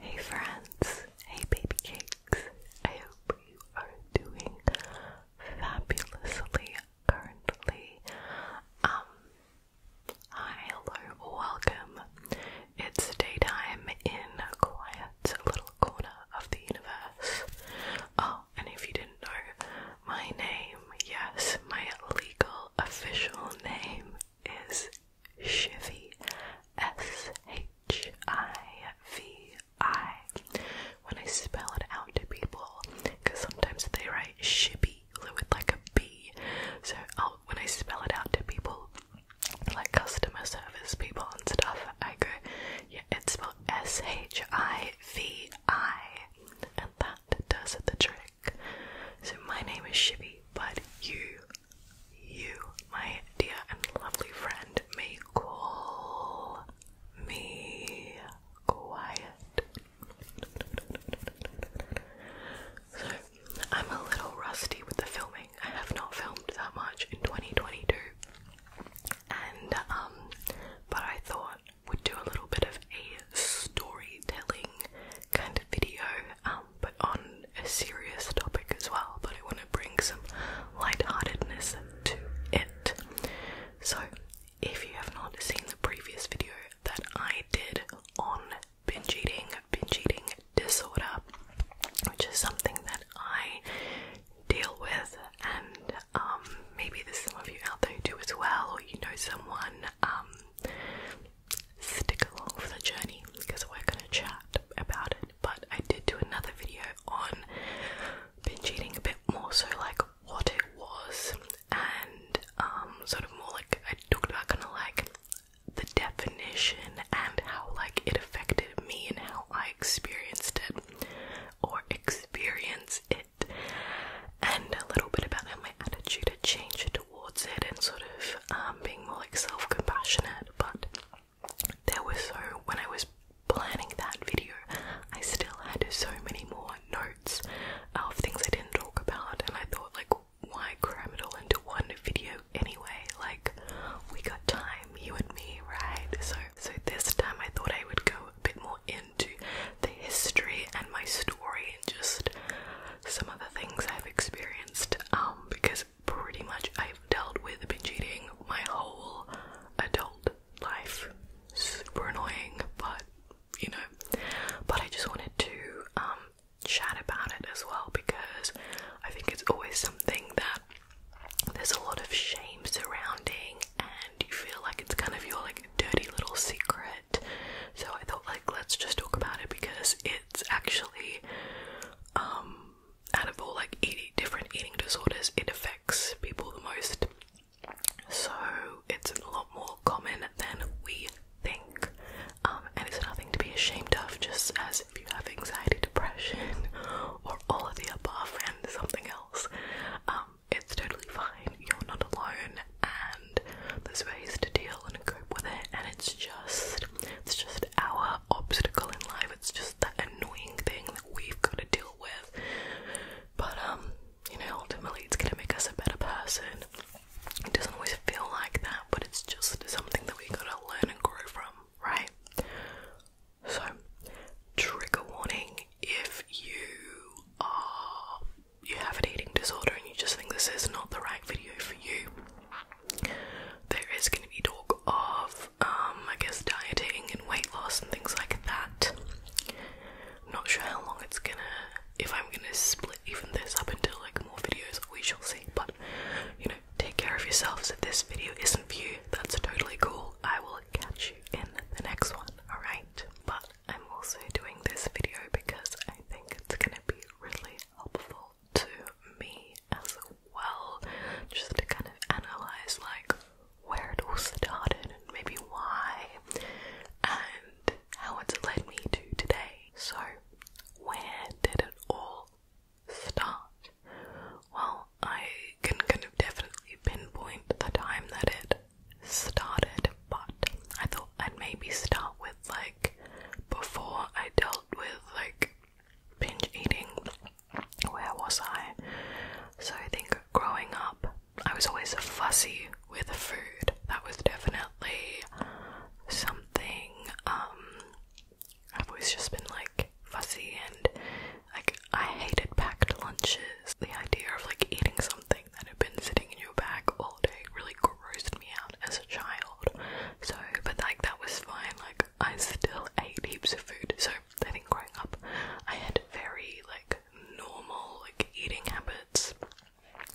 Hey friends, hey baby cakes. I hope you are doing fabulously currently. Um hi, hello, welcome. It's daytime in a quiet little corner of the universe. Oh, and if you didn't know, my name, yes, my legal official name is Shivi, S H I V I. When I spell it out to people, because sometimes they write shippy with like a B, so when I spell it out to people, like customer service people and stuff, I go, yeah, it's spelled S H I V I, and that does the trick. So, my name is Shibby, but you, you, my dear and lovely friend, may call me quiet. So, I'm a little rusty with the filming. I have not filmed that much in 2022. And, um, but I thought would do a little bit of a storytelling kind of video. Um, but on a serious topic as well. But I want to bring some light-heartedness to it. So, if you have not seen the previous video that I did on binge eating, binge eating disorder, which is something that I deal with, and um, maybe there's some of you out there who do as well, or you know someone. Um, stick along for the journey because we're gonna chat about it. But I did do another video on binge eating a bit more so like what it was and um sort of more like I talked about kinda like the definition and how like it affected me and how I experienced it or experience it and a little bit about how my attitude had changed towards it and sort of um, being more like self compassionate. But there was so, when I was planning that video, I still had so many more notes of things I didn't talk about, and I thought, like, why cram it all into one video anyway? Like, we got time, you and me, right? So, so this time I thought I would go a bit more into the history and my story and just some of the things I've experienced um, because pretty much I've dealt with binge eating my whole adult life. Super annoying, but you know. But I just wanted to um, chat about it as well because I think it's always something that there's a lot of shame surrounding, and you feel like it's kind of your like dirty little secret so I thought like let's just talk about it because it's actually um out of all like eating different eating disorders it affects people the most. So it's a lot more common than we think. Um, and it's nothing to be ashamed of just as if you have anxiety, depression or all of the above and something else. Um, it's totally fine. You're not alone and there's ways to deal and cope with it and it's just it's just our obstacle in life it's just that annoying thing that we've got to deal with but um you know ultimately it's gonna make us a better person it doesn't always feel like that but it's just something that we have gotta learn and grow from right so trigger warning if you are you have an eating disorder and you just think this is not the right video for you there is going to be talk of, um, I guess, dieting and weight loss and things like that. not sure how long it's gonna, if I'm gonna split even this up into like more videos, we shall see. But you know, take care of yourselves. If this video isn't for you, that's totally cool. I will catch you in the next one. All right. But I'm also doing this video because I think it's gonna be really helpful to me as well, just to kind of analyze like where it all started and maybe why and how it's led me to today. So, where did it all start? Well, I can kind of definitely pinpoint the time that it started, but I thought I'd maybe start with like before I dealt with like binge eating, where was I? So I think growing up, I was always fussy with food. That was definitely something um, I've always just been like fussy and like I hated packed lunches. The idea of like eating something that had been sitting in your bag all day really grossed me out as a child. So, but like that was fine. Like I still ate heaps of food. So I think growing up, I had very like normal like eating habits.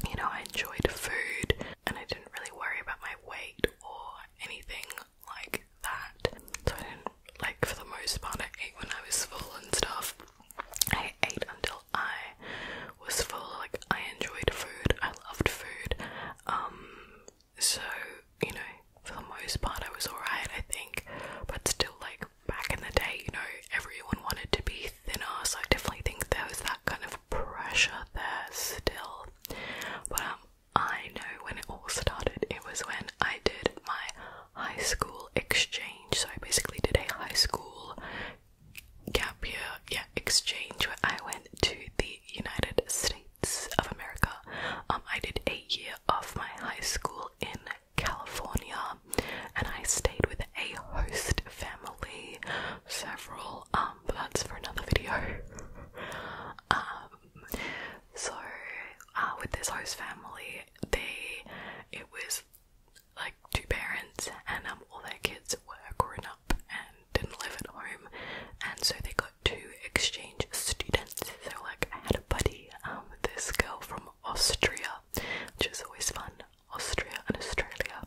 You know, I enjoyed food, and I didn't really worry about my weight or anything like that. So I didn't like for the most part. I ate when I was full and stuff. I ate until I was full. Like I enjoyed food. I loved food. Um, so you know, for the most part, I was alright. I think, but still, like back in the day, you know, everyone wanted to be thinner. So I definitely think there was that kind of pressure there still. But um, I know when it all started. It was when I did my high school exchange. So I basically did a high school gap year, yeah, exchange where I went to the United States of America. Um, I did a year of my high school in California, and I stayed with a host family, several. Um, but that's for another video. um, so uh, with this host family, they it was like two parents, and um, all their kids were grown up and didn't live at home, and so they got two exchange students. So, like, I had a buddy, um, this girl from Austria, which is always fun. Austria and Australia,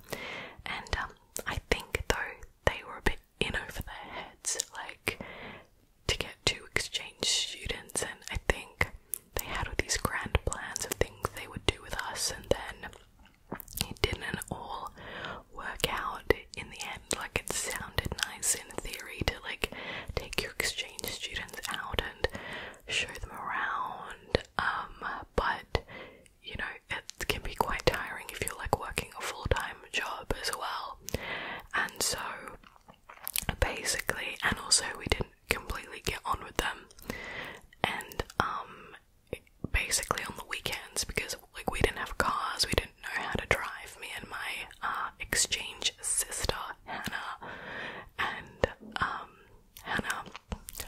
and um, I think though they were a bit in over their heads, like to get two exchange students, and I think they had all these grand plans of things they would do with us, and then it didn't all work out in the end. Like it sounded nice in theory to like take your exchange students out and show them around, um, but you know it can be quite tiring if you're like working a full-time job as well. And so basically, and also we didn't completely get on with them, and um, basically on the weekends because like we didn't have cars, we didn't know how to drive. Me and my uh, exchange sister Hannah, and um, Hannah,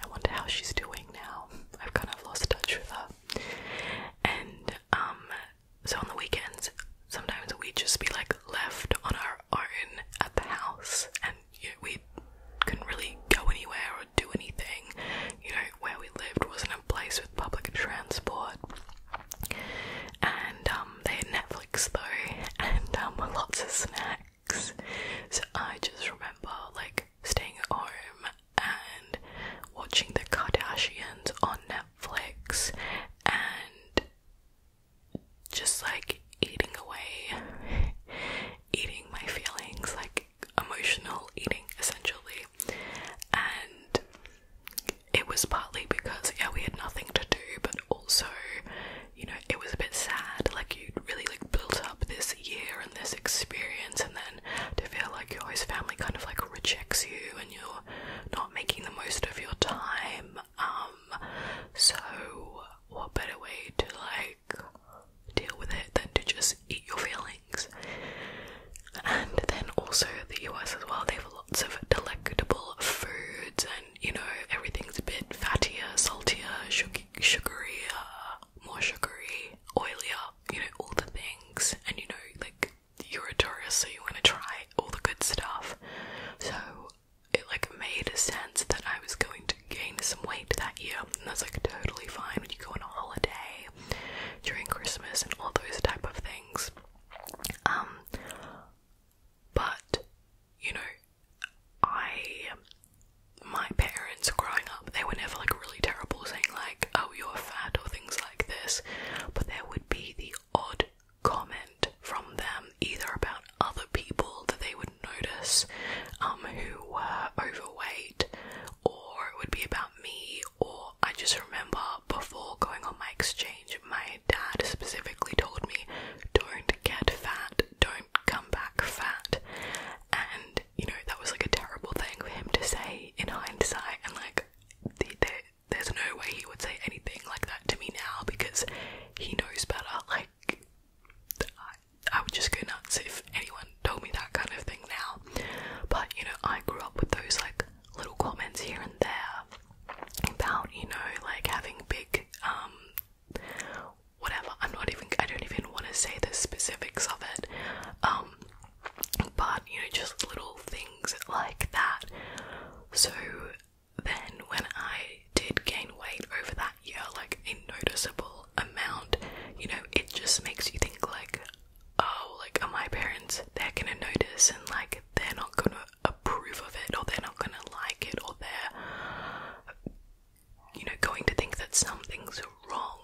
I wonder how she's doing now. I've kind of lost touch with her. And um, so on the weekends, sometimes we'd just be like left on our own at the house, and we couldn't really go anywhere or do anything. You know, where we lived wasn't a place with public transport. And um, they had Netflix though, and um, lots of snacks. So I just remember like staying at home and watching the Kardashians on Netflix and just like eating away, eating my feelings, like emotional eating essentially and it was partly because yeah we had nothing to do but also you know it was a bit sad like you really like built up this year and this experience and then to feel like your host family kind of like rejects you and you're not making the most of your time um so what better way to like deal with it than to just eat your feelings. And then also the US as well, they have lots of delectable foods and you know everything's a bit fattier, saltier, sugary, more sugary, oilier, you know, all the things and you know like you're a tourist so you want to try all the good stuff. So it like made sense that I was going to gain some weight that year and that's like totally fine when you go on a holiday during Christmas and all those type of things. Um, but you know, I my parents growing up, they were never like really terrible saying like, "Oh, you're fat" or things like this, but there would be the odd comment from them either about other people that they would notice um, who were overweight or it would be about me, or I just remember before going on my exchange, my dad specifically told me, Don't get fat, don't come back fat. And, you know, that was like a terrible thing for him to say in hindsight, and like, there's no way he would say anything like that to me now because he knows better. Like, I would just go nuts if anyone told me that kind of thing now. But you know, I grew up with those like little comments here and there about, you know, like having big um, whatever. I'm not even I don't even want to say the specifics of it. Um, but you know, just little things like that. So then when I did gain weight over that year, like a noticeable amount, you know, it just makes you think like, oh, like, are my parents, they're gonna notice and, like, they're not gonna approve of it or they're not gonna like it or they're, you know, going to think that something's wrong.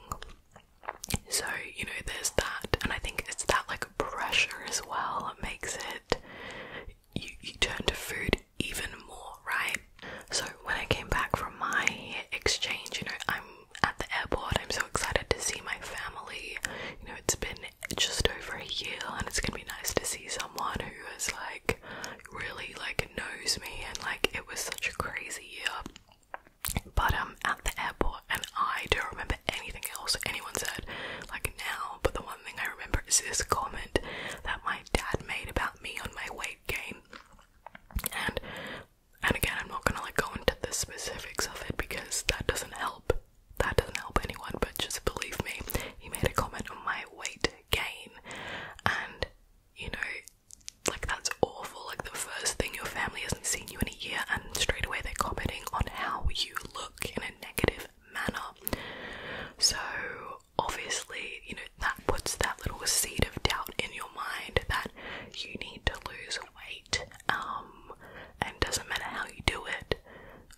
So, you know, there's that. And I think it's that, like, pressure as well that makes it, you, you turn to food even more, right? So when I came back from my exchange, you know, I'm at the airport. I'm so excited to see my family. You know, it's been just over a year, and it's gonna be nice to see someone who is like really like knows me. And like, it was such a crazy year. But um, at the airport, and I don't remember anything else anyone said like now. But the one thing I remember is this comment that my dad made about me on my weight gain, and and again, I'm not gonna like go into the specifics of it because that doesn't help. That doesn't help anyone, but just believe me, he made a comment on my weight gain. And, you know, like that's awful. Like the first thing your family hasn't seen you in a year, and straight away they're commenting on how you look in a negative manner. So, obviously, you know, that puts that little seed of doubt in your mind that you need to lose weight, um, and doesn't matter how you do it,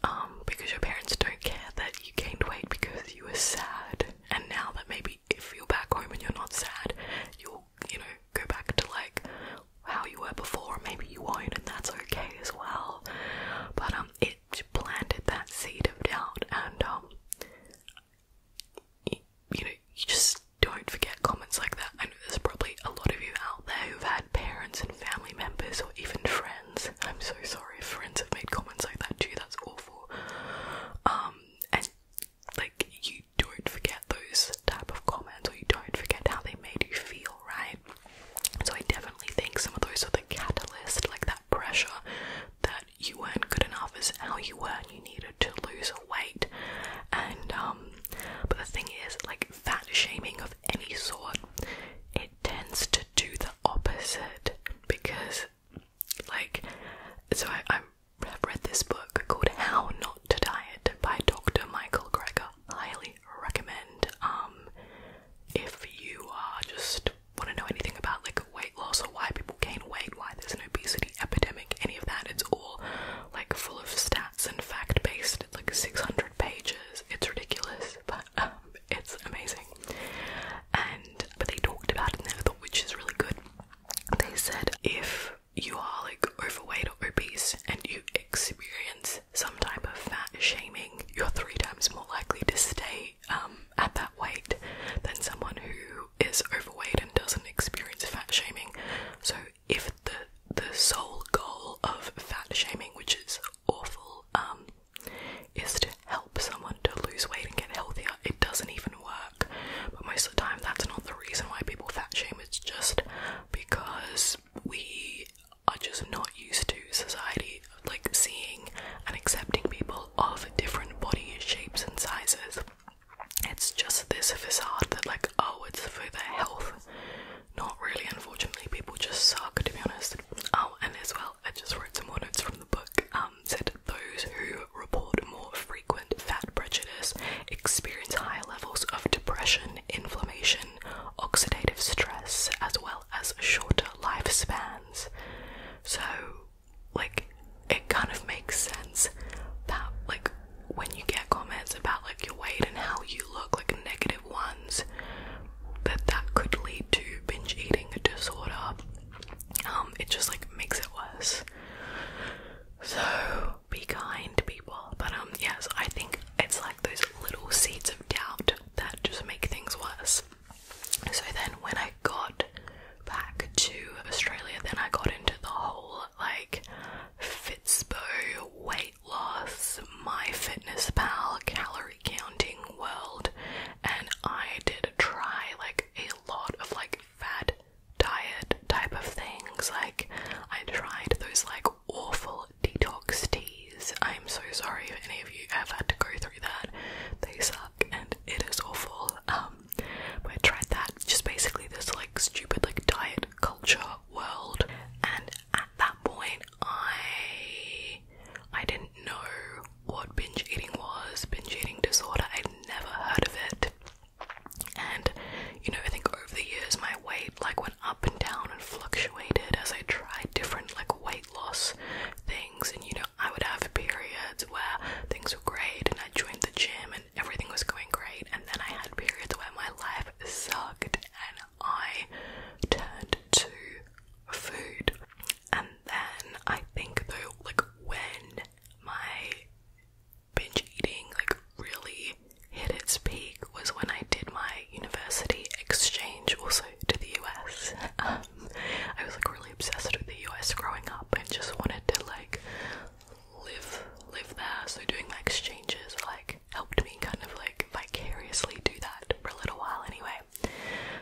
um, because your parents don't care that you gained weight because you were sad, and now that maybe if you're back home and you're not sad, you'll, you know, go back to like how you were before, maybe you won't, and that's okay as well. But um, it planted that seed of doubt, and um, you, know, you just don't forget comments like that. I know there's probably a lot of you out there who've had parents and family members or even friends. I'm so sorry friends have made comments like that too, that's awful. Um, and like, you don't forget those type of comments or you don't forget how they made you feel, right? So I definitely think some of those are the catalyst, like that pressure that you weren't good enough is how you were and you needed to lose weight and um but the thing is like fat shaming of any sort it tends to do the opposite because like so I, have read this book called How Not to Diet by Dr. Michael Greger. Highly recommend um if you are just want to know anything about like weight loss or why people gain weight, why there's an obesity epidemic, any of that. It's all like full of stats and fact based. It's like 600 pages. It's ridiculous, but um, it's amazing. And but they talked about it, and I thought which is really good. They said if you are like overweight or obese and you experience some type of fat shaming, you're three times more likely to stay um, at that weight than someone who is overweight and doesn't experience fat shaming. So if the the sole goal of fat shaming, which is awful, um, is to help someone to lose weight and get healthier, it doesn't even work. But most of the time, that's not the reason why people fat shame. It's just because we are just not used to society like seeing and accepting people of different body shapes and sizes it's just this facade that like oh it's for their health not really unfortunately people just suck to be honest oh and as well i just wrote some more notes from the book um said those who report more frequent fat prejudice experience higher levels of depression inflammation oxidative stress as well as shorter lifespans so like it kind of makes sense that like when you get comments about like your weight and how you look like negative ones that that could lead to binge eating disorder um it just like makes it worse so be kind to people but um yes yeah, i think it's like those little seeds of doubt that just make things worse so then when i got back to australia then i got into the whole like Fitspo, weight loss, My Fitness Pal, calorie counting world, and I did try like a lot of like fat diet type of things. Like I tried those like awful detox teas. I'm so sorry if any of you have had to go through that. They suck and it is awful. Um but I tried that, just basically this like stupid like diet culture world, and at that point I I didn't know what binge eating was, binge eating disorder. I'd never heard of it. And you know, I think over the years my weight like went up and down and fluctuated as I tried different like weight loss things and you know I would have periods where things were great and I joined the gym and everything was going great, and then I had periods where my life sucked and I turned to food. And then I think though, like when my binge eating like really hit its peak was when I did my university exchange also to the US. Um, I was like really obsessed with the US growing up and just wanted to like live live there. So doing my exchanges like helped me kind of like vicariously do that for a little while anyway.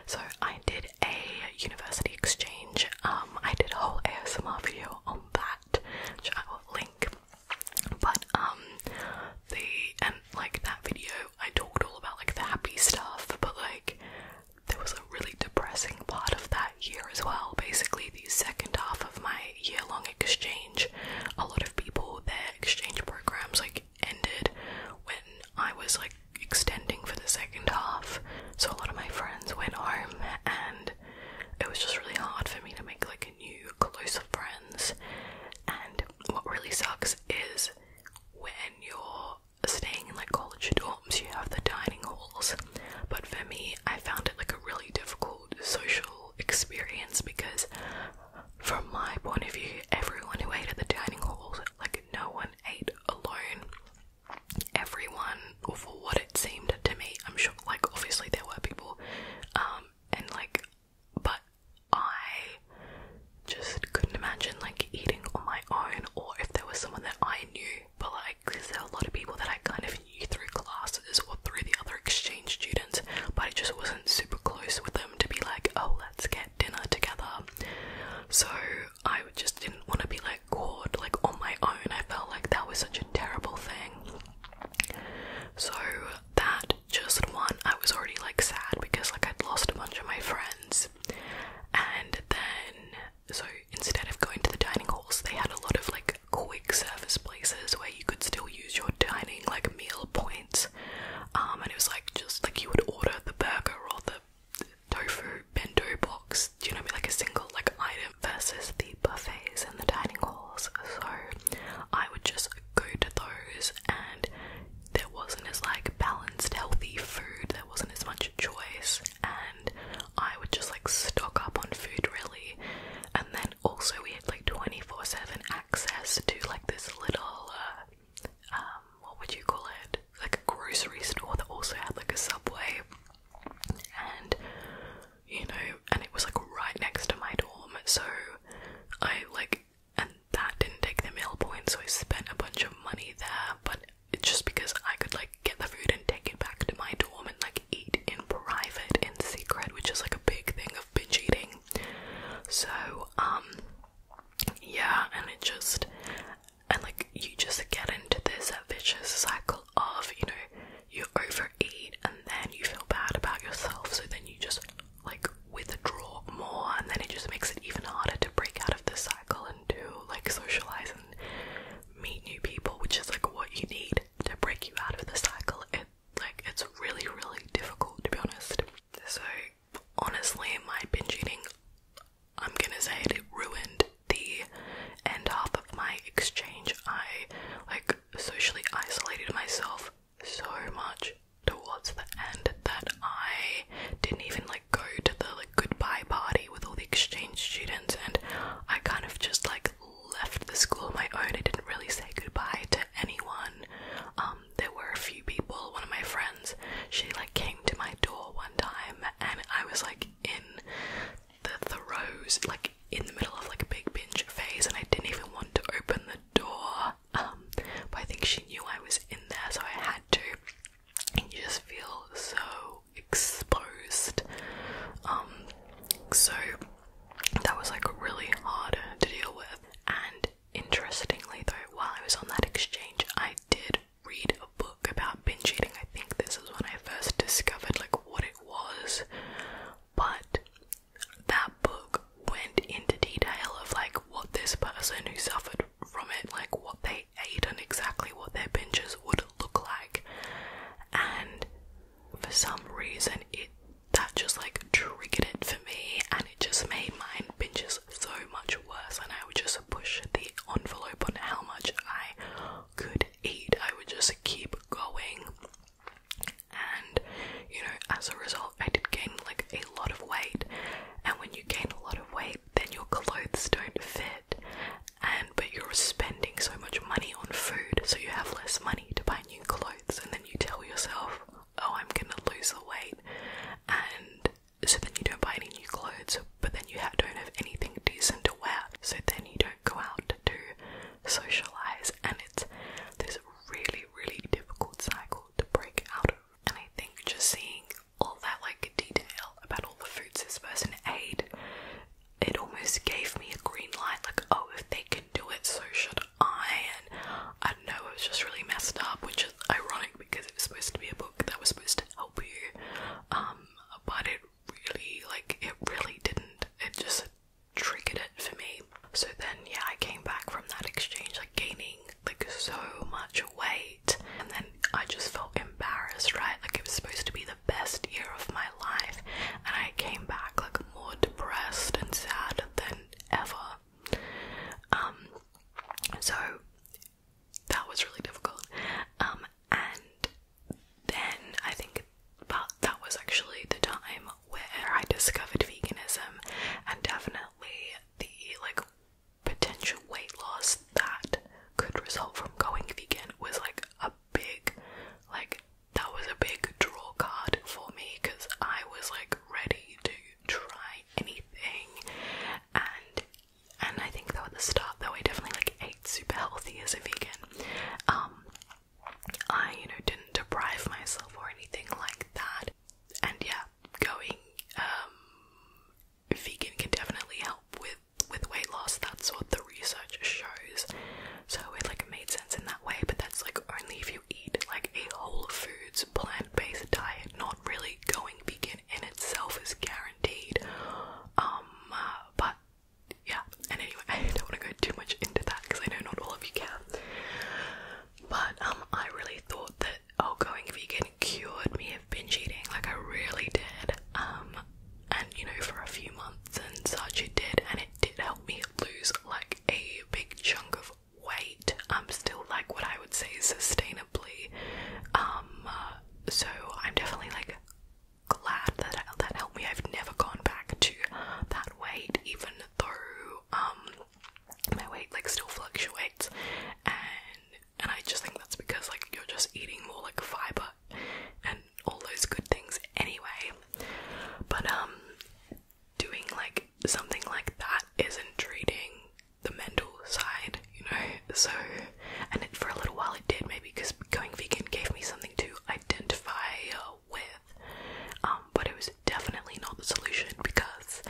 So I did a university exchange. Um, I did a whole ASMR video on that, which I will link. But um, the and um, like that video, I talked all about like the happy stuff, but like there was a really depressing part of that year as well. Basically, the second half of my year-long exchange. A lot of people their exchange programs like ended when I was like extending for the second half. So a lot of my friends went home and it was just really hard for me to make like new closer friends. And what really sucks is when you're staying in like college dorms, you have the dining halls but for me, I found it like a really difficult social experience because, from my point of view, everyone who ate at the dining halls like, no one ate alone. Everyone, for what it seemed to me, I'm sure, like, obviously there were people, um, and like, but I just couldn't imagine like eating on my own or if there was someone that I knew but like because there are a lot of people that I kind of knew through classes or through the other exchange students, but I just wasn't super close with them to be like, oh, let's get dinner together. So I just didn't want to be like caught like on my own. I felt like that was such a terrible thing. So that just one, I was already like sad because like I'd lost a bunch of my friends, and then so instead of going to the dining halls, they had a lot of like quick service places where you could still use your dining like meal points. Um, and it was like just like you would order the burger or the tofu bento box, do you know what I mean? Like a single like item versus the buffets and the dining halls. So I would just go to those and there wasn't as like balanced healthy food, there wasn't as much choice I would just like stock up on food really. And then also we had like 24/7 access to like this little uh, um, what would you call it? Like a grocery store that also had like a subway. And you know, and it was like right next to my dorm. So I like and that didn't take the meal point, so I spent a bunch of money there, but it's just because I could like get the food and take it back to my dorm and like eat in private, in secret, which is like a big thing of binge eating. So, um, yeah, and it just, and like you just get into this vicious cycle of, you know, you overeat and then you feel bad about yourself, so then you just like withdraw more, and then it just makes it even harder to break out of the cycle and do like socialize and meet new people, which is like what you need to break you out of the cycle. It like it's really, really difficult to be honest. So honestly, my binge eating, I'm gonna say it, ruined the end half of my exchange. I like socially isolated myself so much towards the end that I didn't even like go to the like goodbye party with all the exchange students and I kind of just like left the school on my own. I didn't really say goodbye to anyone. Um, there were a few people. One of my friends, she like came to my door one time, and I was like in the throes, like in the middle of like a big binge phase, and I didn't even want to open the door. Um, but I think she knew I was in there, so I had to. And you just feel so exposed. Um, so that was like really hard to deal with. And interestingly, though, while I was on that exchange, I did read a book about binge eating. I think this is when I first discovered like what it was, but that book went into detail of like what this person who suffered from it, like what they ate and exactly what their binges would look like. And for some reason it that just like triggered it for me and it just made my pinches so much worse and I would just push the envelope on how much I could eat. I would just keep going and you know as a result I did gain like a lot of weight and when you gain a lot of weight then your clothes don't fit and but you're spending so much money on food, so you have less money to buy new clothes, and then you tell yourself, "Oh, I'm gonna lose the weight," and so then you don't buy any new clothes, but then you don't have anything decent to wear, so then you don't go out to socialize, and it's this really, really difficult cycle to break out of. And I think just seeing all that like detail about all the foods this person ate it almost gave me a green light like, oh, if they can do it, so should I. And I don't know, it was just really messed up, which is ironic because it was supposed to be a book that was supposed to help you. Um, but it really, like, it really didn't. It just triggered it for me. So then, yeah, I came back from that exchange, like, gaining like so much weight, and then I just felt embarrassed, right? Like, it was supposed to be the best year of my life, and I came back like more depressed and sad than ever. Um, so that was really difficult. Um, and then I think but that was actually the time where I discovered veganism and definitely the like potential weight loss that could result from going vegan was like a big like that was a big draw card for me because I was like ready to try anything and and I think that at the start though I definitely like ate super healthy as a vegan. Um I, you know, didn't deprive myself or anything like that. And yeah, going um vegan can definitely help with with weight loss. That's what the research shows. So it like made sense in that way, but that's like only if you eat like a whole foods plant-based diet. Not really going vegan in itself is guaranteed. Um, uh, but yeah. And anyway, I don't want to go too much into that because I know not all of you care. But um, I really thought that oh, going vegan cured me of binge eating. Like I really did. Um, and you know for a few months and such it did and it did help me lose like a big chunk of weight i'm still like what i would say sustainably um uh, so i'm definitely like glad that that helped me i've never gone back to that weight even though um my weight like still fluctuates and and i just think that's because like you're just eating more like fiber and all those good things anyway. But um doing like something like that isn't treating the mental side, you know. So and it, for a little while it did maybe because going vegan gave me something to identify uh, with. Um, but it was definitely not the solution because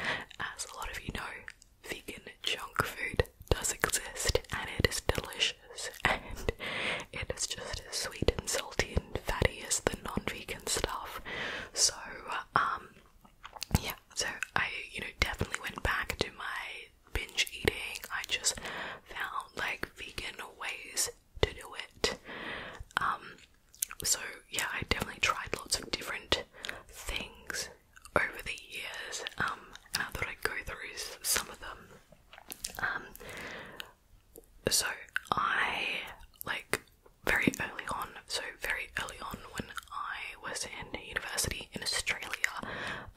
as a lot of you know, vegan junk food does exist and it is delicious and it is just as sweet and salty and fatty as the non-vegan stuff. So um yeah, so I you know definitely went back to my binge eating. I just found like vegan ways to do it. Um so yeah, I definitely tried lots of different things over the years, um, and I thought I'd go through some of them. Um, so I like very early on, so very early on when I was in university in Australia,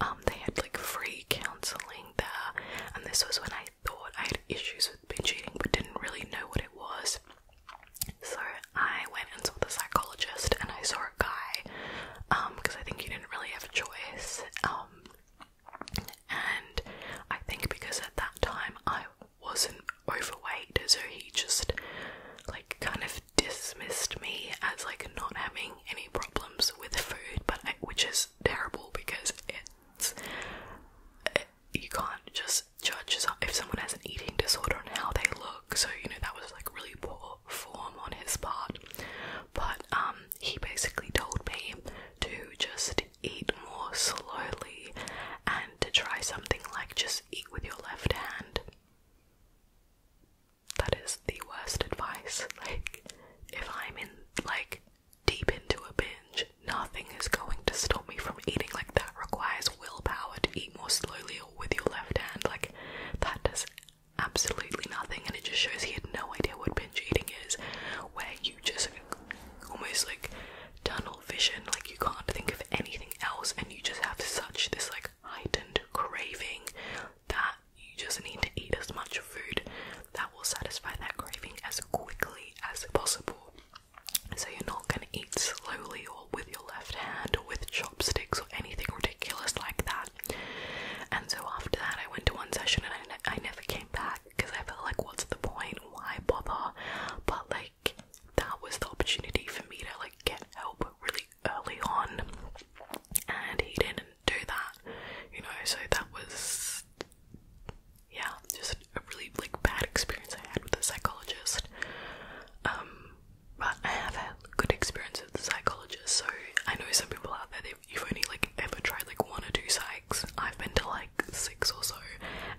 um, they had like free counselling there, and this was when I thought I had issues with binge eating but didn't really know what it was. So I went and saw the psychologist, and I saw a guy, um, because I think you didn't really have a choice, um, and I think because at that time I wasn't overweight, so he just like kind of dismissed me as like not having any problems with food, but which is terrible because it's you can't just judge if someone has an eating disorder on how they look. So you know that was like really poor form on his part, but um he basically told me to just eat more slowly and to try something like just eat with your left hand. That is the worst advice. Like, if I'm in, like, deep into a binge, nothing is going to stop me from eating. Like, that requires willpower to eat more slowly or with your left hand. Like, that does absolutely nothing, and it just shows he had no idea what eating is, where you just almost like tunnel vision, like you can't think of anything else, and you just have such this like heightened craving that you just need to eat as much food that will satisfy that craving as quickly as possible. So you're not going to eat slowly or with your left hand or with chopsticks or anything ridiculous like that. And so after that, I went to one session and I never came back because I felt like, what's the point? Why bother? But like, that was the opportunity for me to like get help really early on, and he didn't do that, you know. So that was, yeah, just a really like bad experience I had with a psychologist. Um, but I have had good experience with the psychologist, so I know some people out there you've only like ever tried like one or two psychs, I've been to like six or so,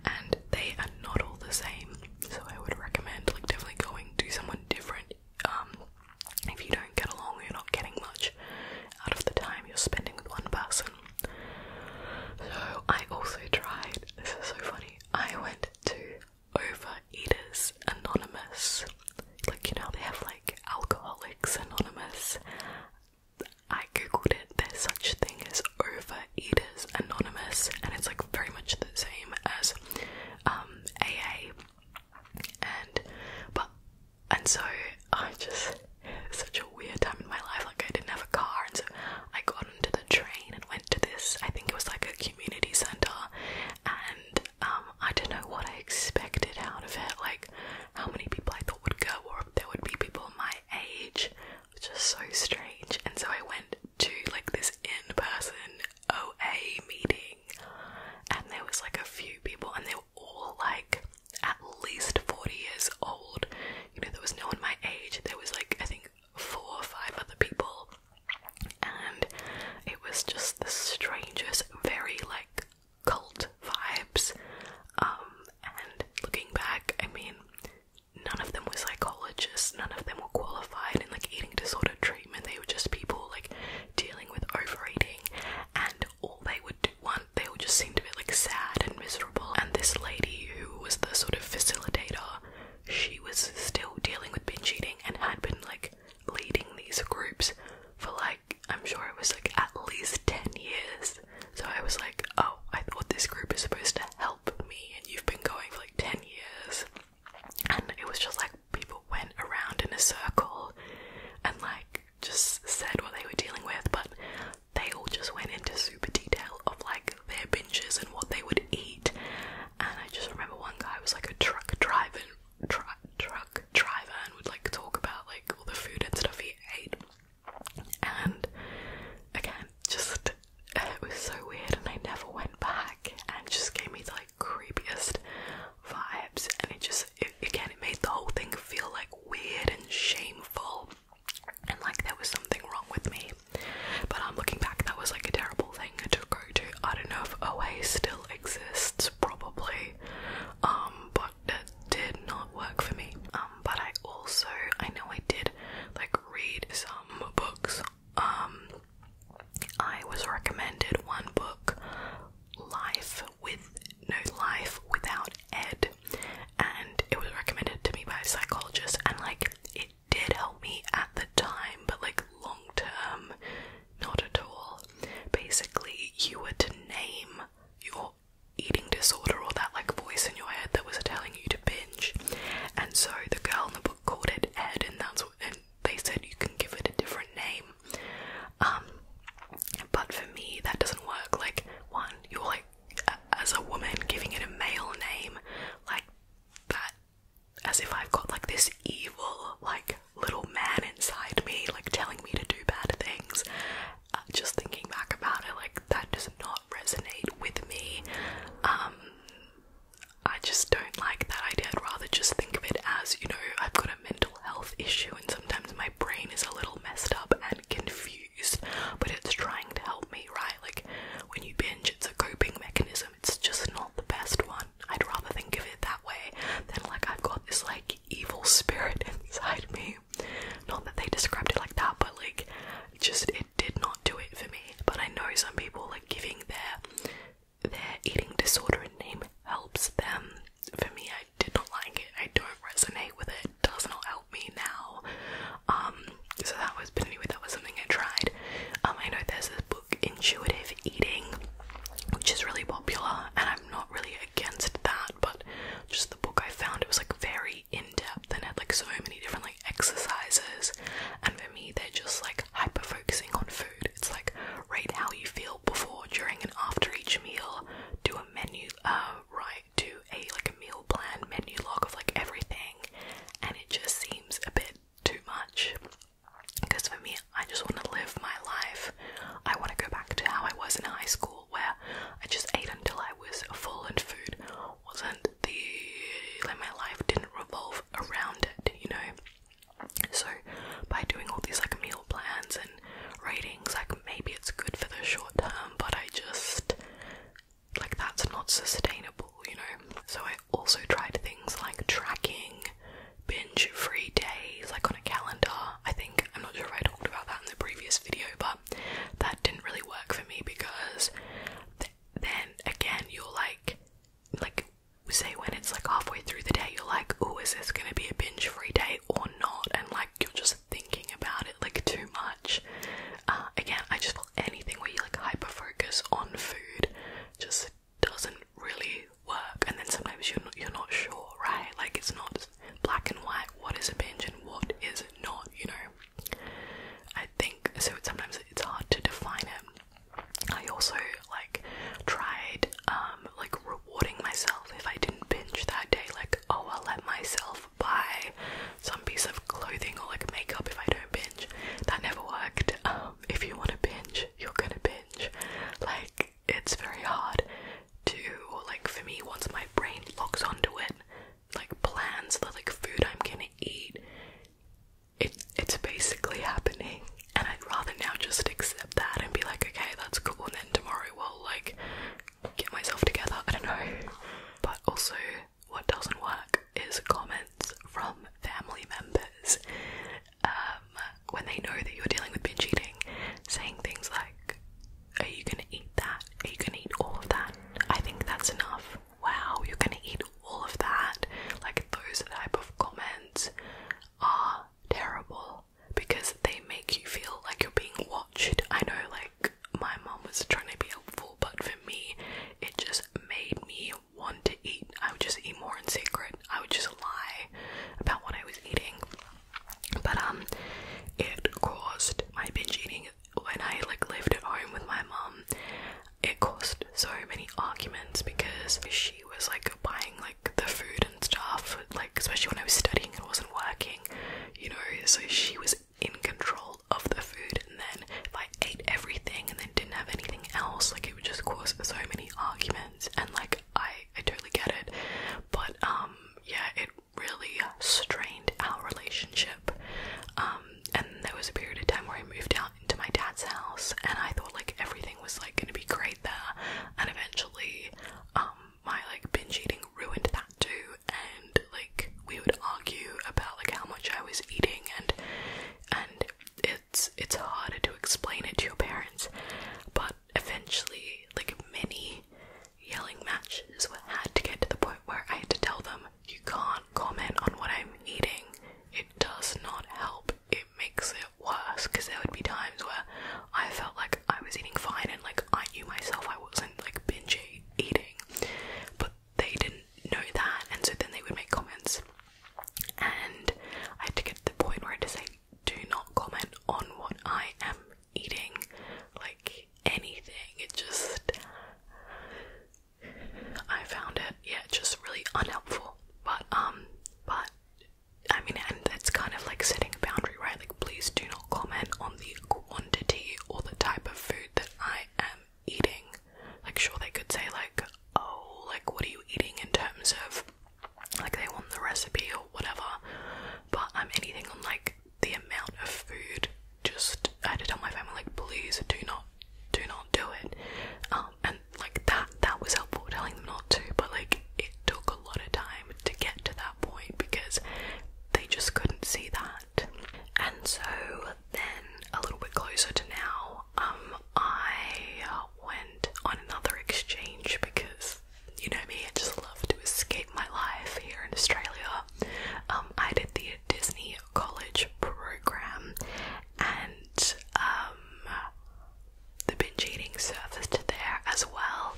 and they are not all the same. So I would recommend like definitely going to someone different. Um, if you don't get along, you're not getting much out of the time you're spending with one person. So I also tried. This is so funny. I went to Overeaters Anonymous. Like you know they have like Alcoholics Anonymous. I googled it, there's such thing as Overeaters Anonymous, and it's like very much the same as um, AA. And but and so I just such a weird time in my life. Like I didn't have a car, and so I got into the train and went to this. I think it was like a community center, and um, I don't know what I expected out of it. Like how many people I thought would go, or if there would be people my age, which is so strange. And so I went to like this in person OA meeting, and there was like a few people, and they were all like at least 40 years old. You know, there was no one my age, there was like I think four or five other people, and it was just the strangest, very like cult vibes. Um, and looking back, I mean, none of them were psychologists, none of them were qualified in like eating disorder treatment. They were just people like dealing with overeating, and all they would do want, they would just seem to be like sad and miserable. And this lady who was the sort of facilitator, she was still dealing with binge eating and had been like leading these groups for like I'm sure it was like at least 10 years. So I was like, oh, I thought this group is supposed to help me, and you've been going for like 10 years. And it was just like people went around in a circle and like just said what they were dealing with, but they all just went into super detail of like their binges and what they would eat. And I just remember one guy was like a truck driver, truck driver, and would like talk about like all the food and stuff he ate and again just uh, it was so weird and I never went back and just gave me the like creepiest vibes and it just it, again it made the whole thing feel like weird and shameful and like there was something wrong with me but I'm looking back that was like a terrible thing to go to I don't know if OA still exists probably um but that did not work for me. Um, but I also I know I did like read some books. Um, I was recommended one book, Life with No Life Without Ed, and it was recommended to me by a psychologist, and like it did help me at the time, but like long term, not at all. Basically, you were to name your eating disorder or that like voice in your head that was telling you to binge. And so the girl in the book called it Ed, and that's what, and they said you can give it a different name. Um, but for me, that doesn't work. Like, one, you're like, as a woman, giving it a male name, like that, as if I've got like this evil, like little man inside me, like telling me to do bad things. Uh, just thinking back about it, like that does not resonate with me. Um, I just don't like that idea. I'd rather just think of it as, you know, I've got a mental health issue and sometimes my brain is a little messed up and confused, but it's trying to help me, right? Like when you binge, it's a coping mechanism. It's just not the best one. I'd rather think of it that way than like I've got this like evil spirit inside me not that they described it like that, but like just it did not do it for me. But I know some people like giving their their eating disorder name helps them. For me, I did not like it. I don't resonate with it. it does not help me now. Um, so that was, but anyway, that was something I tried. Um, I know there's this book, Intuitive Eating, which is really popular, and I'm not really against that, but just the book I found, it was like very in-depth and had like so many different like exercises and for me they're just like hyper focusing on food it's like rate how you feel before during and after each meal do a menu uh right do a like a meal plan menu log of like everything and it just seems a bit too much because for me I just want to live my life I want to go back to how I was in high school where I just ate until I was full, and food wasn't the like my life didn't revolve around it, you know. So by doing all these like meal plans and ratings, like maybe it's good for the short term, but I just like that's not sustainable, you know. So I also tried things like tracking binge free days, like on a calendar. I think I'm not sure if I talked about that in the previous video, but that didn't really work for me because then again you're like like say when it's like halfway through the day you're like oh is this gonna be a binge free day or not and like you're just thinking about it like too much uh, again i just feel anything where you like hyper focus on food just doesn't really work and then sometimes you're you're not sure right like it's not black and white, what is a binge and what is not, you know. I think so sometimes it's hard to define it. I also like tried um like rewarding myself if I didn't binge that day, like oh I'll let myself buy some piece of clothing or like makeup if I don't binge. That never worked. Um if you wanna binge, you're gonna binge. Like it's very hard to like for me once my brain locks onto it like plans the like food I'm gonna eat. It it's basically happening, and I'd rather now just accept that and be like, okay, that's cool, and then tomorrow we'll like get myself together. I don't know. But also, what doesn't work is comments from family members um, when they know that you're dealing with binge eating, saying things like, are you gonna eat that? Are you gonna eat all of that? I think that's enough. Wow, you're gonna eat all of that. Like, those type of comments are terrible because they make you feel like you're being watched. I know, like, my mom was trying to be helpful, but for me, it just made me want to eat. I would just eat more in secret, I would just lie about what I was eating. But um, it caused my binge eating when I like lived at home with my mum. It caused so many arguments because she was like buying like the food and stuff, like especially when I was studying and wasn't working, you know. So she was in control of the food, and then if I ate everything and then didn't have anything else, like it would just cause so many arguments. And like I, I totally get it, but um, yeah, it really strained our relationship. Um, and there was a period of time where I moved out into my dad's house, and I thought like everything was like gonna be great there, and eventually, um, my like binge eating ruined that too, and like we would argue about like how much I was eating, and and it's it's harder to explain it to your parents, but eventually, like many yelling matches had to get to the point where I had to tell them, you can't comment on what I'm eating. It does not help. It makes it worse because there would be times where I felt like I was eating fine and like I knew myself I wasn't like binge eating, but they didn't know that, and so then they would make comments. And I had to get to the point where I had say, do not comment on what I am eating like anything. It just I found it yeah, just really unhelpful. But um but I mean and it's kind of like setting a boundary, right? Like please do not comment on the quantity or the type of food that I am eating. Like sure they could say like, oh, like what are you eating in terms of like they want the recipe or whatever. But I'm um, anything on like the amount of food just I had to tell my family like please do not do not do it um, and like that that was helpful telling them not to but like it took a lot of time to get to that point because they just couldn't see that and so then a little bit closer to now um I went on another exchange because you know me I just love to escape my life here in Australia um, I did the Disney College program, and um, the binge eating surfaced there as well.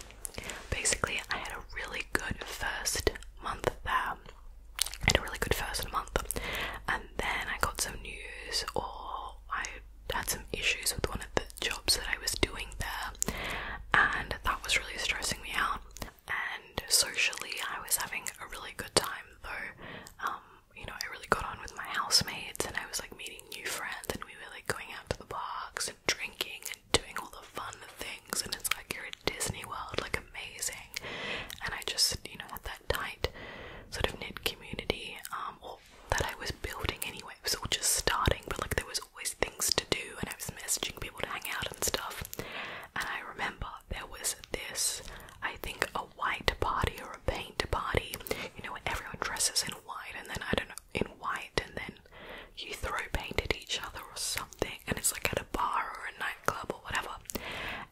Basically, I had a really good first month there. I had a really good first month, and then I got some news, or I had some issues with one of the jobs that I was doing there, and that was really stressing me out and socially I was having a really good time though. Um, you know, I really got on with my housemates and I was like meeting new friends and we were like going out to the parks and drinking and doing all the fun things and it's like you're at Disney World, like amazing. And I just, you know, had that tight sort of knit community, um, that I was building anyway. It was all just starting, but like there was always things to do, and I was messaging people to hang out and stuff. And I remember there was this, I think, a white party or a paint party, you know, where everyone dresses in white and then I don't know, in white, and then you throw paint at each other or something, and it's like at a bar or a nightclub or whatever.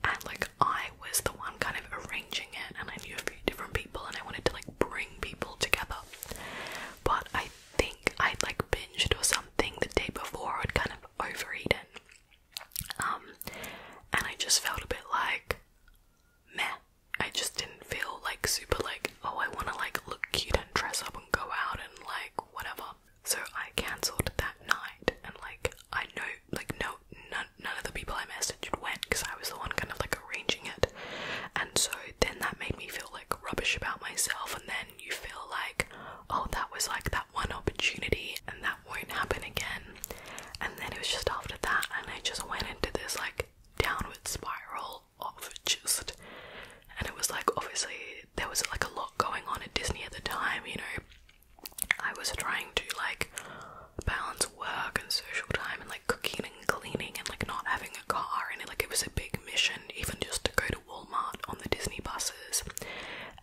And like, I was the one kind of arranging it, and I knew a few different people, and I wanted to like bring people together. But I think I'd like binged or something the day before, I'd kind of overeaten. Um, and I just felt a bit like meh. I just didn't feel like super like, oh, I want to like look cute and dress up and go out and like whatever. So I cancelled that night, and like I know, like no, none, none of the people I messaged went because I was the one kind of like arranging it. And so then that made me feel like rubbish about myself, and then you feel like, oh, that was like that one opportunity and that won't happen again. And then it was just after that, and I just went into this like downward spiral of just, and it was like obviously there was like a lot going on at Disney at the time, you know. I was trying to like balance work and social time and like cooking and cleaning and like not having a car and it, like it was a big mission even just to go to Walmart on the Disney buses,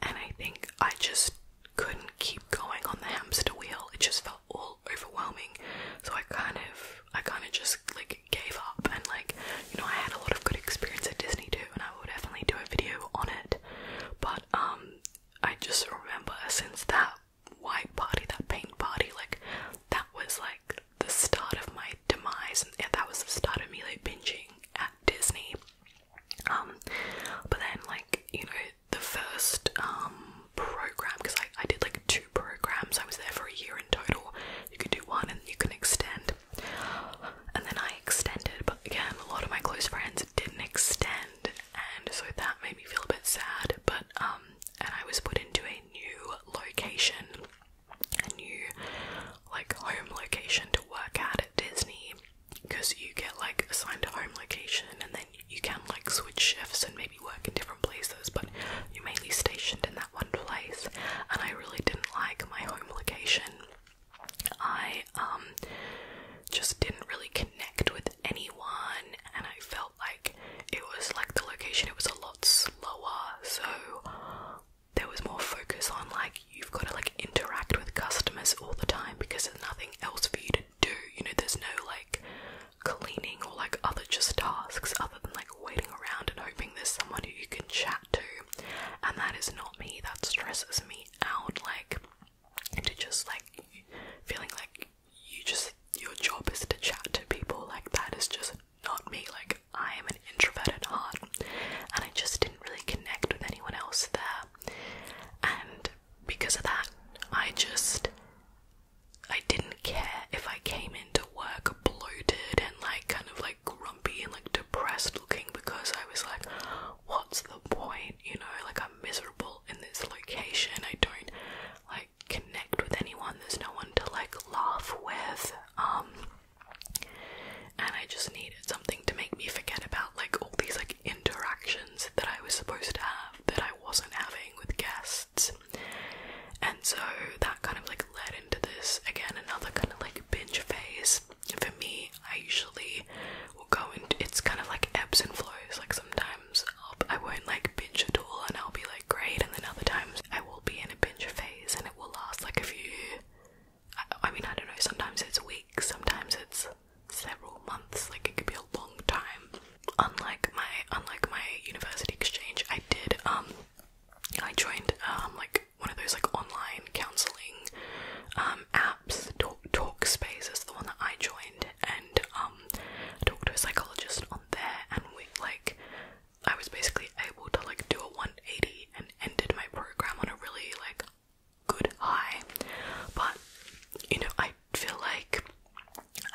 and I think I just couldn't keep going on the hamster wheel. It just felt all overwhelming, so I kind of, I kind of just like gave up. And like, you know, I had a lot of good experience at Disney too, and I will definitely do a video on it. But um, I just remember since that white party, that paint party, like that was like the start of my demise, and yeah, that was the start of me like binging at Disney. Um, but then like you know the first um program because I I did like two programs. I was there for a year in total. You could do one and you can extend, and then I extended. But again, a lot of my close friends didn't extend, and so that made me feel a bit sad. But um, and I was put into a new location a new like home location to work out at Disney because you get like assigned a home location and then you can like switch shifts and maybe work in different places but you're mainly stationed in that one place and I really didn't like my home location. I um just didn't really connect with anyone and I felt like it was like the location it was a lot slower so there was more focus on like you've got to like interact with customers all the time because there's nothing else for you to do. You know, there's no like cleaning or like other just tasks other than like waiting around and hoping there's someone who you can chat to. And that is not me. That stresses me out. Like to just like feeling like you just your job is to chat to people. Like that is just not me. Like, I am an introvert at heart, and I just didn't really connect with anyone else there. And because of that, I just. I didn't care if I came into work bloated and like kind of like grumpy and like depressed looking because I was like, what's the point? You know, like I'm miserable in this location. I don't like connect with anyone. There's no one to like laugh with. Um, and I just needed something to make me forget about like all these like interactions that I was supposed to have that I wasn't having with guests. And so that kind of like led into this again another kind of like binge phase. For me, I usually will go into it's kind of like ebbs and flows. Like sometimes I'll, I won't like binge at all and I'll be like great, and then other times I will be in a binge phase and it will last like a few I, mean, I don't know, sometimes it's weeks, sometimes it's several months, like it could be a long time. Unlike my unlike my university exchange, I did um I joined um like one of those like online counseling um, apps. Talk Talkspace is the one that I joined and um I talked to a psychologist on there and we like I was basically able to like do a 180 and ended my program on a really like good high. But you know, I feel like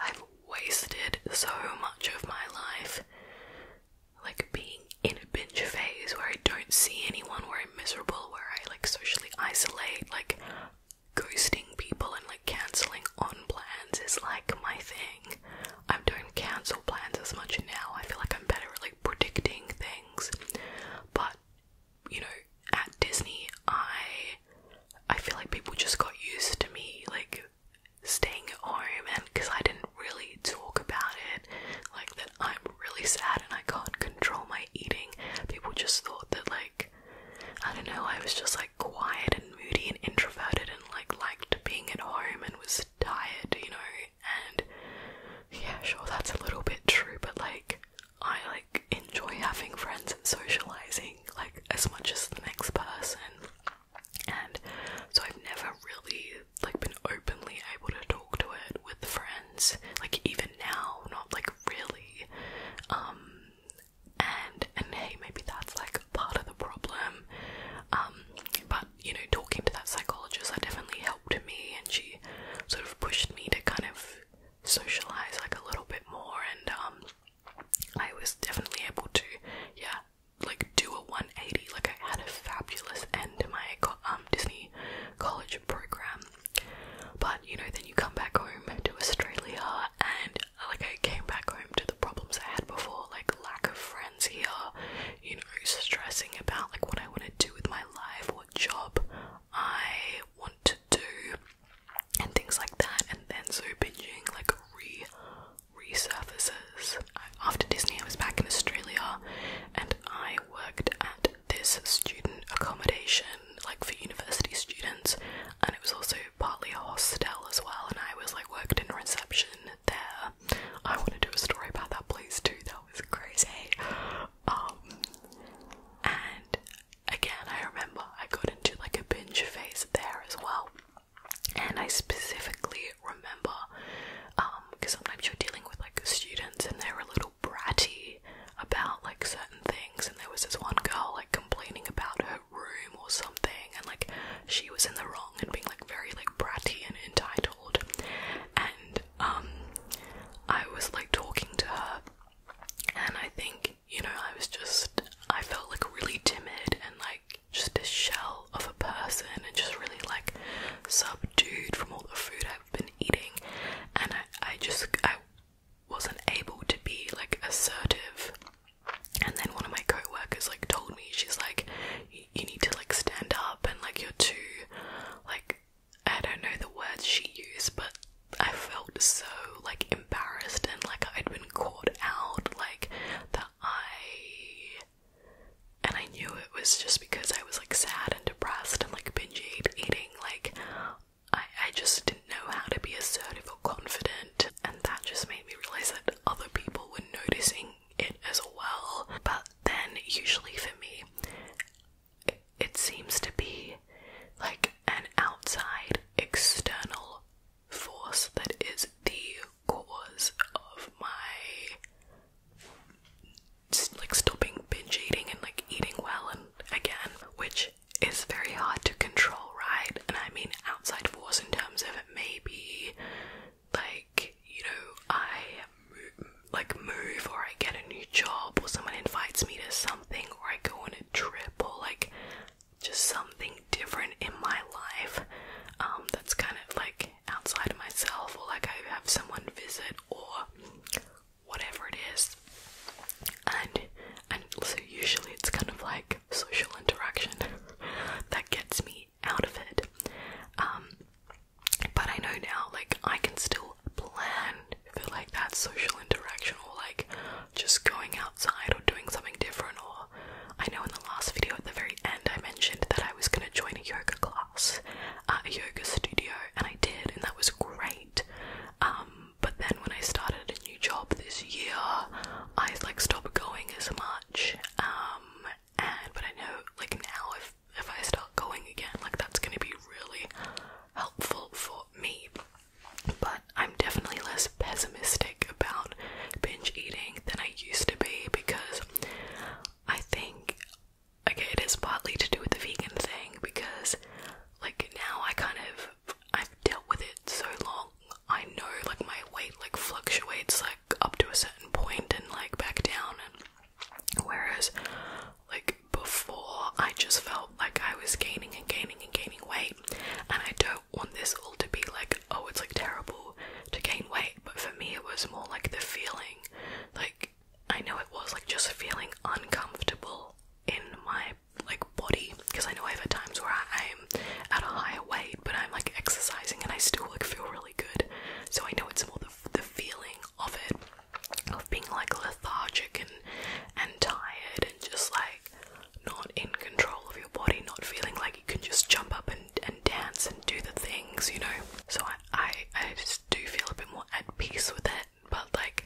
I've wasted so much of my life like being in a binge phase where I don't see anyone, where I'm miserable, where I like socially isolate, like ghosting people and like cancelling on plans is like my thing. I'm doing cancel plans as much now. I feel like I'm better at like predicting things. But you know, at Disney, I I feel like people just got used to me like staying at home and because I didn't really talk about it like that I'm really sad and I can't control my eating. People just thought that like I don't know, I was just like quiet and moody and introverted and like liked being at home and was tired, you know, and yeah, sure, that's a little bit true, but like, I like enjoy having friends and socializing like as much as the next person, and so I've never really like been openly able to talk to it with friends, like even now, not like really, um, and and hey, maybe that's like part of the problem, um, but you know, talking to that psychologist, that definitely helped to me and she sort of pushed me to kind of socialize like a little bit more and um, I was definitely able to yeah like do a 180 like I had a fabulous end to my um, Disney college program but you know then you come back home to Australia and like I came back home to the problems I had before like lack of friends here you know, stressing about like what I want to do with my life, what job I want to do, and things like that. And then so binging like resurfaces. After Disney, I was back in Australia, and I worked at this student accommodation, like for university students, and it was also partly a hostel as well. And I was like worked in reception there. I want to do a story about that place too. That was crazy. Um, and again, I remember I got into like a binge phase there as well. And I specifically remember, because um, sometimes you're dealing with like students and they're a little bratty about like certain things. And there was this one girl like complaining about her room or something, and like she was in the wrong and being like very like bratty and entitled and um, I was like talking to her and I think you know I was just I felt like really timid and like just a shell of a person and just really like subdued from all the food I've been eating and I I just I wasn't able to be like assertive and then one of my coworkers like told me she's like you need to like stand up and like you're too like I don't know the words she used but I felt so like embarrassed and like I'd been caught out like that I and I knew it was just because I was like sad and depressed and like binge eating like I I just didn't know how to be assertive or confident and that just made me realize that other people were noticing it as well. But then, usually for me, it, seems to be like an outside external force that is the cause of my like stopping binge eating and like eating well and again which is very hard to control right and i mean outside force in terms of it may like you know I mo like move or I get a new job or someone invites me to something or I go on a trip or like just something different in my life um, that's kind of like outside myself or like I have someone visit or whatever it is and and so usually it's kind of like social interaction that gets me out of it. Um, but I know now, like, I can still plan for like that social interaction or like just going outside or doing something different. Or I know in the last video at the very end, I mentioned that I was gonna join a yoga class at a yoga studio, and I did, and that was great. Um, but then when I started a new job this year, I like stopped going as much. Um, but I know like now if if I start going again, like that's gonna be really helpful for me. But I'm definitely less pessimistic about binge eating than I used to be because I think okay, it is partly to do with the vegan thing because like now I kind of I've dealt with it so long. I know like my weight like fluctuates like up to a certain point and like back down and Whereas, like before, I just felt like I was gaining and gaining and gaining weight, and I don't want this all to be like, oh, it's like terrible to gain weight, but for me, it was more like the feeling like I know it was like just feeling uncomfortable in my like body because I know I've had times where I, am at a higher weight, but I'm like exercising and I still like feel really good, so I know it's more the, feeling of it, of being like lethargic and and tired and just like not in control of your body, not feeling like you can just jump up and, and dance and do the things, you know. So I, I I just do feel a bit more at peace with it, but like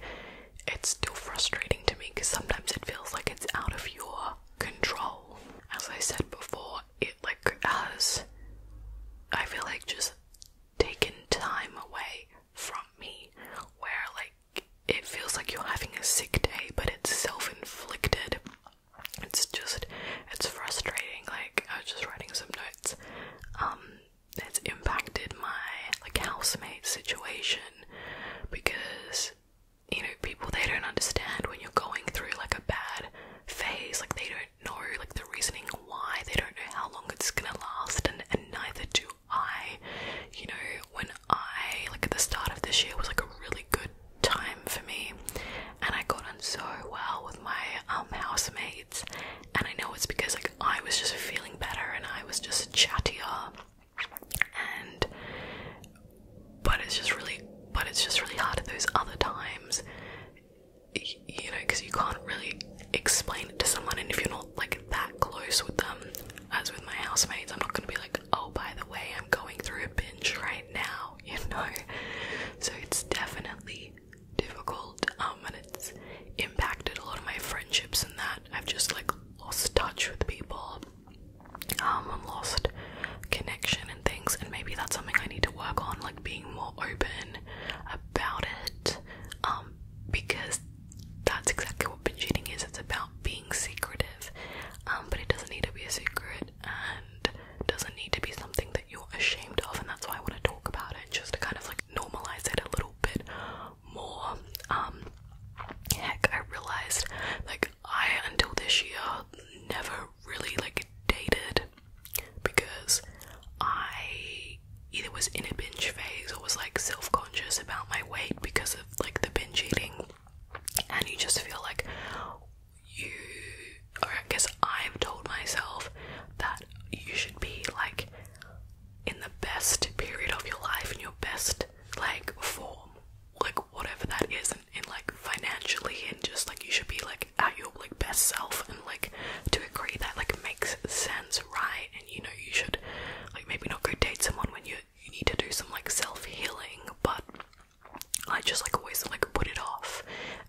it's still frustrating to me because sometimes it feels like it's out of your control. As I said before, it like has I feel like just taken time away from me where like it feels like you're having a sick day but it's self-inflicted. It's just it's frustrating. Like I was just writing some notes. Um it's impacted my like housemate situation because you know people they don't understand when you're going through like a bad phase like they don't do know like the reasoning why, they don't know how long it's gonna last, and, and neither do I. You know, when I like at the start of this year was like a really good time for me, and I got on so well with my um housemates, and I know it's because like I was just feeling better and I was just chattier and but it's just really but it's just really hard at those other times you know, because you can't really explain it to someone, and if you're not like that close with them, as with my housemates, I'm not gonna be like, oh, by the way, I'm going through a binge right now, you know. So it's definitely difficult, um, and it's impacted a lot of my friendships and that I've just like lost touch with people, um, and lost connection and things, and maybe that's something I need to work on, like being more open about it um, because that's exactly what binge eating is it's about being secretive um, but it doesn't need to be a secret and doesn't need to be something that you're ashamed of and that's why I want to talk about it just to kind of like normalize it a little bit more um, heck I realized like I until this year never really like dated because I either was in a binge phase or was like self conscious about my weight because of like the binge eating, and you just feel like you, or I guess I've told myself that you should be like in the best period of your life in your best like form like whatever that is and, and like financially and just like you should be like at your like best self and like to agree that like makes sense, right? And you know you should like maybe not go date someone when you you need to do some like self healing, but I just like always like put it off,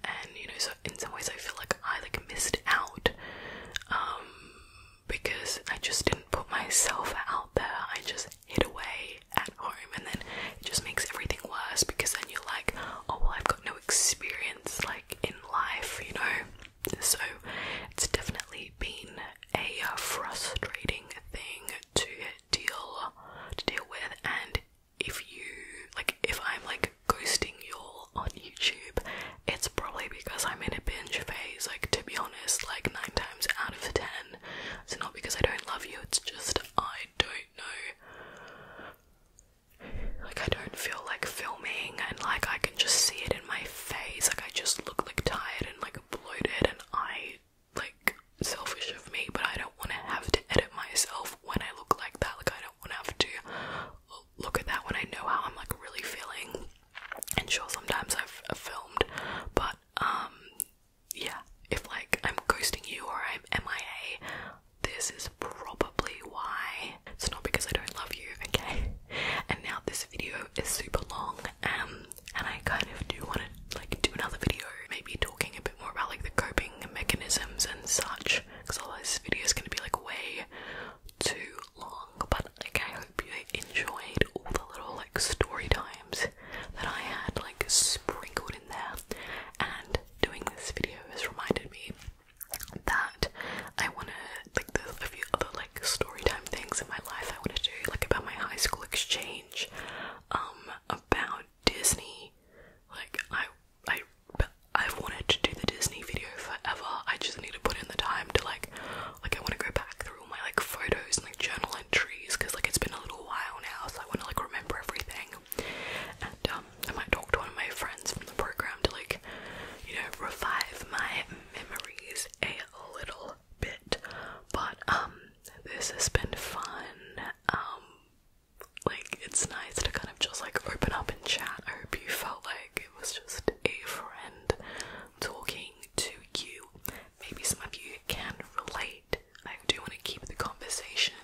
and you know so in some ways I feel like I like missed out, um, because I just didn't put myself out there. I just hid away at home, and then it just makes everything worse because then you're like, oh well, I've got no experience, like in life, you know. So it's definitely been a uh, frustrating thing to deal to deal with. And if you like, if I'm like ghosting y'all on YouTube, it's probably because I'm in a binge phase. Like to be honest, like nine times out of ten, it's not because I don't love you. It's just I don't know like, I don't feel like filming, and like, I can just see it in my face. Like, I just look like tired and like bloated, and I like selfish of me, but I don't want to have to edit myself when I look like that. Like, I don't want to have to look at that when I know how I'm like really feeling. And sure, sometimes I've, I've filmed, but um, yeah, if like I'm ghosting you or I'm MIA, this is probably why. It's not because I don't love you, okay? And now this video is super long, um, and I kind of do want to like do another video, maybe talking a bit more about like the coping mechanisms and such, because otherwise this video is gonna be like way too long. But like, I hope you enjoyed all the little like story times that I had like sprinkled in there, and doing this video has reminded me that I wanna like a few other like story time things in my life I wanna do, like about my high school exchange, um, about Disney. Like I I I've wanted to do the Disney video forever. I just need to put in the time to like like I wanna go back through all my like photos and like journal entries because like it's been a little while now so I wanna like remember everything. Um, I might talk to one of my friends from the program to like, you know, revive my memories a little bit. But um, this has been fun. Um, like it's nice to kind of just like open up and chat. I hope you felt like it was just a friend talking to you. Maybe some of you can relate. I do want to keep the conversation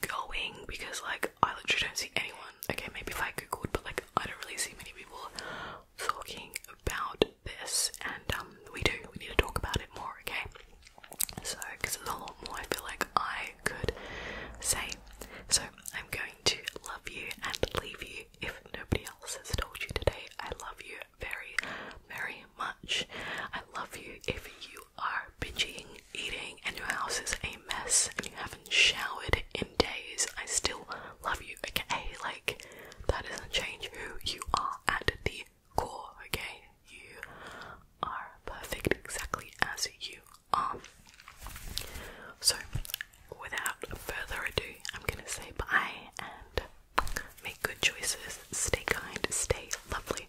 going because like I literally don't see anyone. Okay, maybe if I googled, but like I don't really see many people talking about this, and um, we do. We need to talk about it more. Okay, so because there's a lot more, I feel like I could say. So I'm going to love you and leave you if nobody else has told you today. I love you very, very much. I love you if you are bitching eating and your house is a mess and you haven't showered in days, I still love you, okay? Like, that doesn't change who you are at the core, okay? You are perfect exactly as you are. So, without further ado, I'm gonna say bye and make good choices. Stay kind, stay lovely.